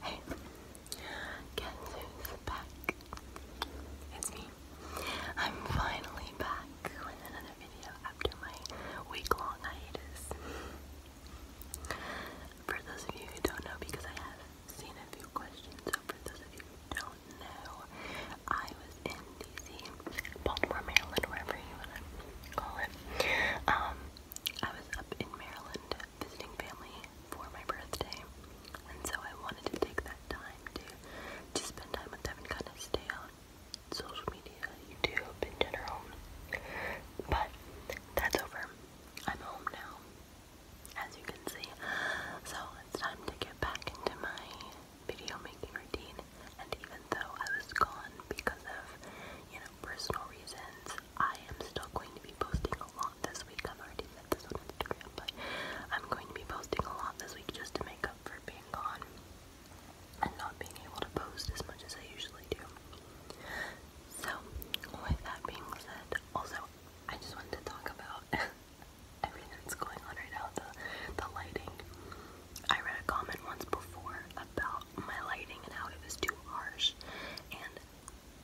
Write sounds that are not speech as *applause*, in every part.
Hey, guess who's back? It's me. I'm finally back with another video after my week-long hiatus. For those of you who don't know, because I have seen a few questions, so for those of you who don't know, I was in D.C., Baltimore, Maryland, wherever you want to call it, um, I was up in Maryland visiting family for my birthday, and so I wanted to take that time to to spend time with them and kind of stay on social media, YouTube in general. But that's over. I'm home now, as you can see. So it's time to get back into my video making routine. And even though I was gone because of, you know, personal reasons, I am still going to be posting a lot this week. I've already said this on Instagram, but I'm going to be posting a lot this week just to make up for being gone and not being able to post as much as I usually do. So, with that being said, also, I just wanted to talk about *laughs* everything that's going on right now, the, the lighting. I read a comment once before about my lighting and how it was too harsh, and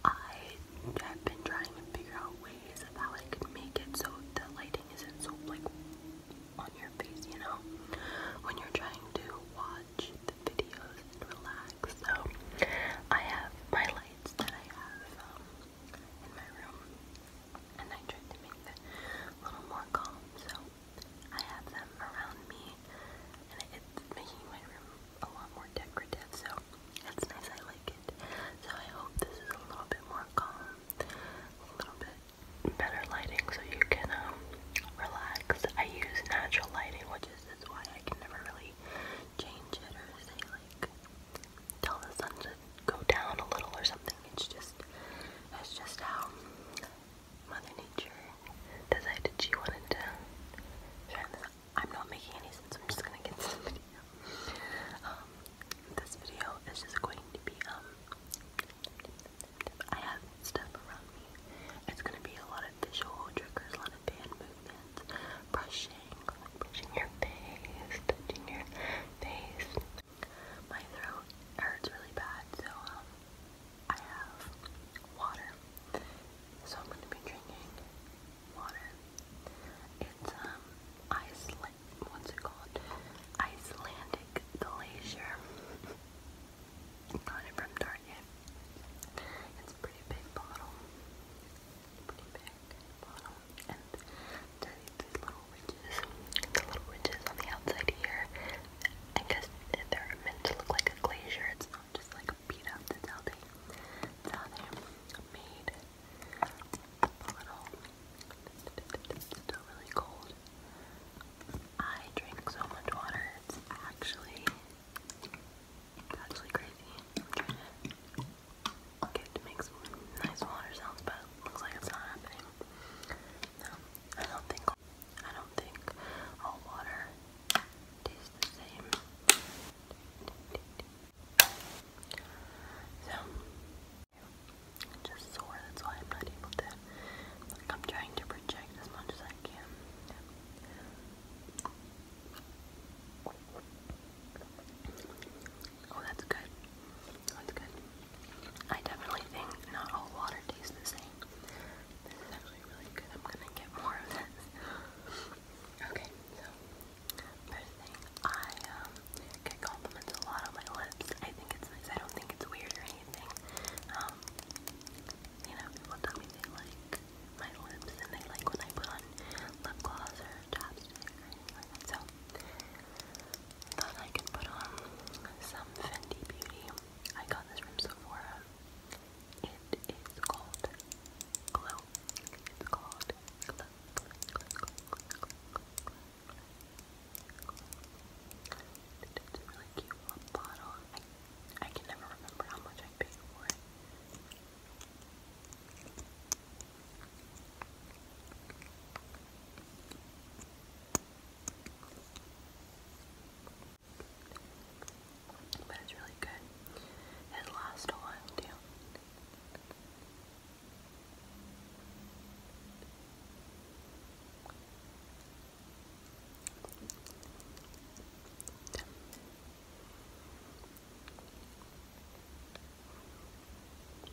I have been trying to figure out ways of how I could make it so the lighting isn't so like on your face, you know, when you're trying to watch the videos and relax. So I have my lights that I have um, in my room, and I tried to make it a little more calm. So I have them around me, and it's making my room a lot more decorative, so that's nice. I like it. So I hope this is a little bit more calm, a little bit better lighting, so you can um, relax. I use natural lighting, which is why I can never really change it or say like tell the sun to go down a little or something. It's just it's just how Mother Nature decided she wanted to I'm not making any sense, I'm just gonna get some *laughs* video. Um, this video is just going to be, um, I have stuff around It's gonna be a lot of visual triggers, a lot of hand movements, brushing, brushing your face, touching your face. My throat hurts really bad, so, um, I have water. So I'm going to be drinking water. It's um Iceland what's it called? Icelandic glacier. Got it from Target. It's pretty big bottle. Pretty big bottle. And these little ridges. The little ridges on the outside here. I guess they're meant to look like a glacier. It's not just like computer. That's how they, that's how made the bottle. It's still really cold. I drink so much water. It's actually, actually crazy. trying to make some nice water sounds, but looks like it's not happening. No, I don't think I don't think all water tastes the same. So, just sore, that's why I'm not able to. I'm trying to project as much as I can. Oh, that's good. That's good. I definitely think not all water tastes the same. This is actually really good. I'm gonna get more of this. okay, so first thing, I um, get compliments a lot on my lips. I think it's nice. I don't think it's weird or anything. Um, you know, people tell me they like my lips and they like when I put on lip gloss or chapstick So I thought I could put on some Fendi Beauty. I got this from Sephora. It is called Glow. It's called Glow. glow, glow, glow, glow, glow, glow, glow. It's a really cute little bottle. I, I can never remember how much I paid for it. It's but it's really good. It lasts a while too.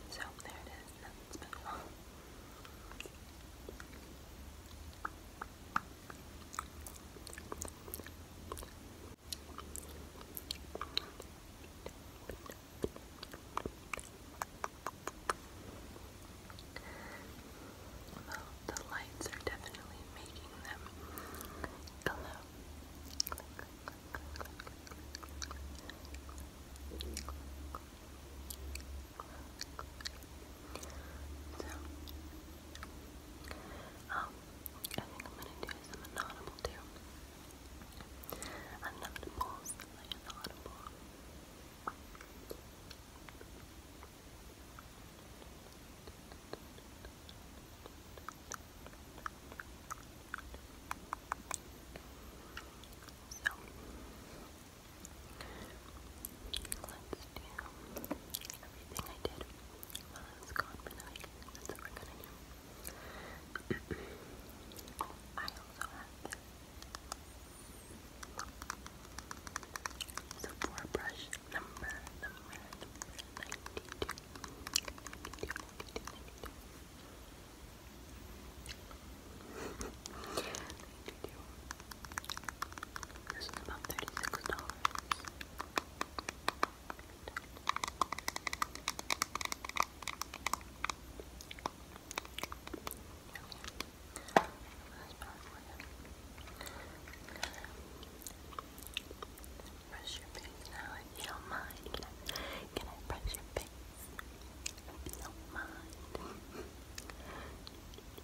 So there it is. Nothing's been wrong. *laughs* Well, the lights are definitely making them glow. Good. So, um, I think I'm gonna do some inaudible too. Unaudibles, So, let's do everything *clears throat* I also have this Sephora brush number, number, 92. *laughs* This is about thirty-six dollars. Brush your face now if you don't mind. Can I, brush your face? If you don't mind. *laughs*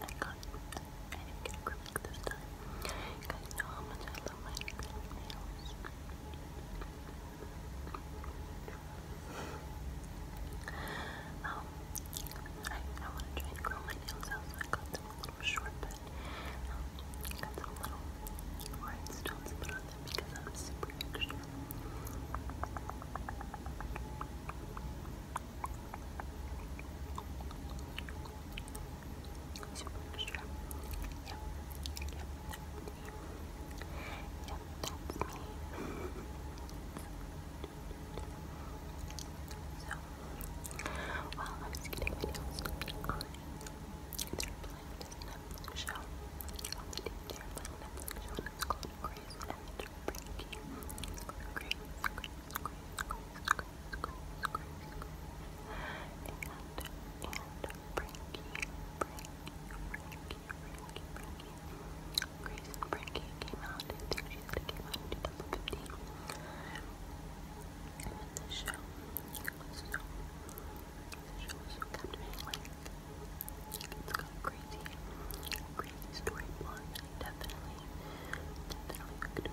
I got I didn't get acrylic this time. You guys know much I love Um, I, I want to try and grow my nails out, I got them a little short, but I got some little rhinestones put on them because I'm super extra. Super extra. that's me. so, while I was getting videos on their planned Netflix show, show, and it's called Grace and squeeze, squeeze, squeeze, squeeze. And, and, Frankie, Frankie, Frankie, Frankie, Frankie. Grace and Frankie came out, I think she said it came out in 2015. And then the show, so, the show was so captivating, like, it's got crazy, crazy story plot, definitely, definitely hooked me. And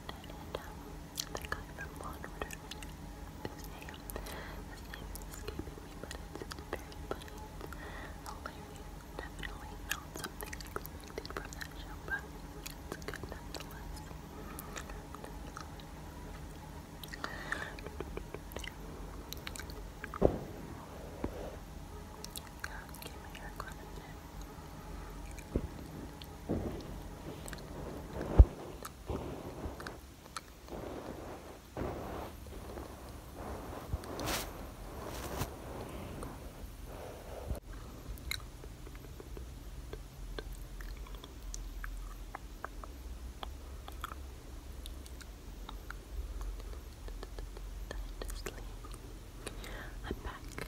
and um, from Law Order, his name, his name is escaping me, but it's very funny, it's hilarious, definitely not something expected from that show, but it's good nonetheless. God, get my hair I'm back.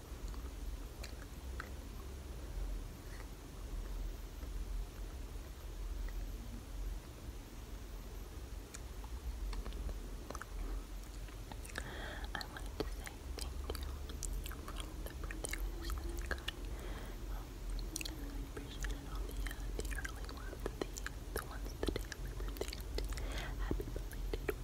I wanted to say thank you for all the birthday I got. Um, all the, uh, early ones, the, ones the day of my birthday. Happy belated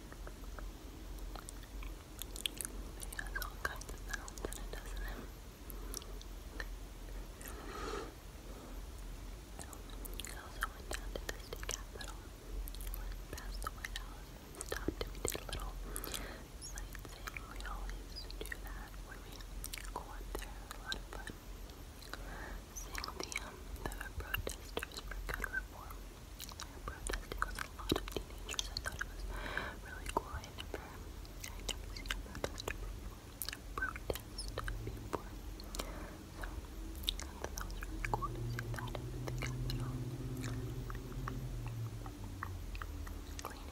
It has also went down to the state capitol, went past the White House, stopped and we did a little sightseeing. We always do that when we go up there. It a lot of fun. Seeing the, um, the protesters for gun reform protest because a lot of teenagers. I thought it was really cool. I never, I never seen a protester before. A protest before. So I thought that was really cool to see that in the capital. Cleaning up the Cleaning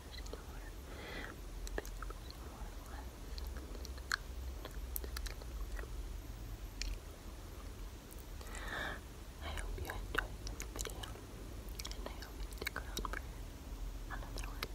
I hope you enjoyed this video, and I hope you stick around for another one,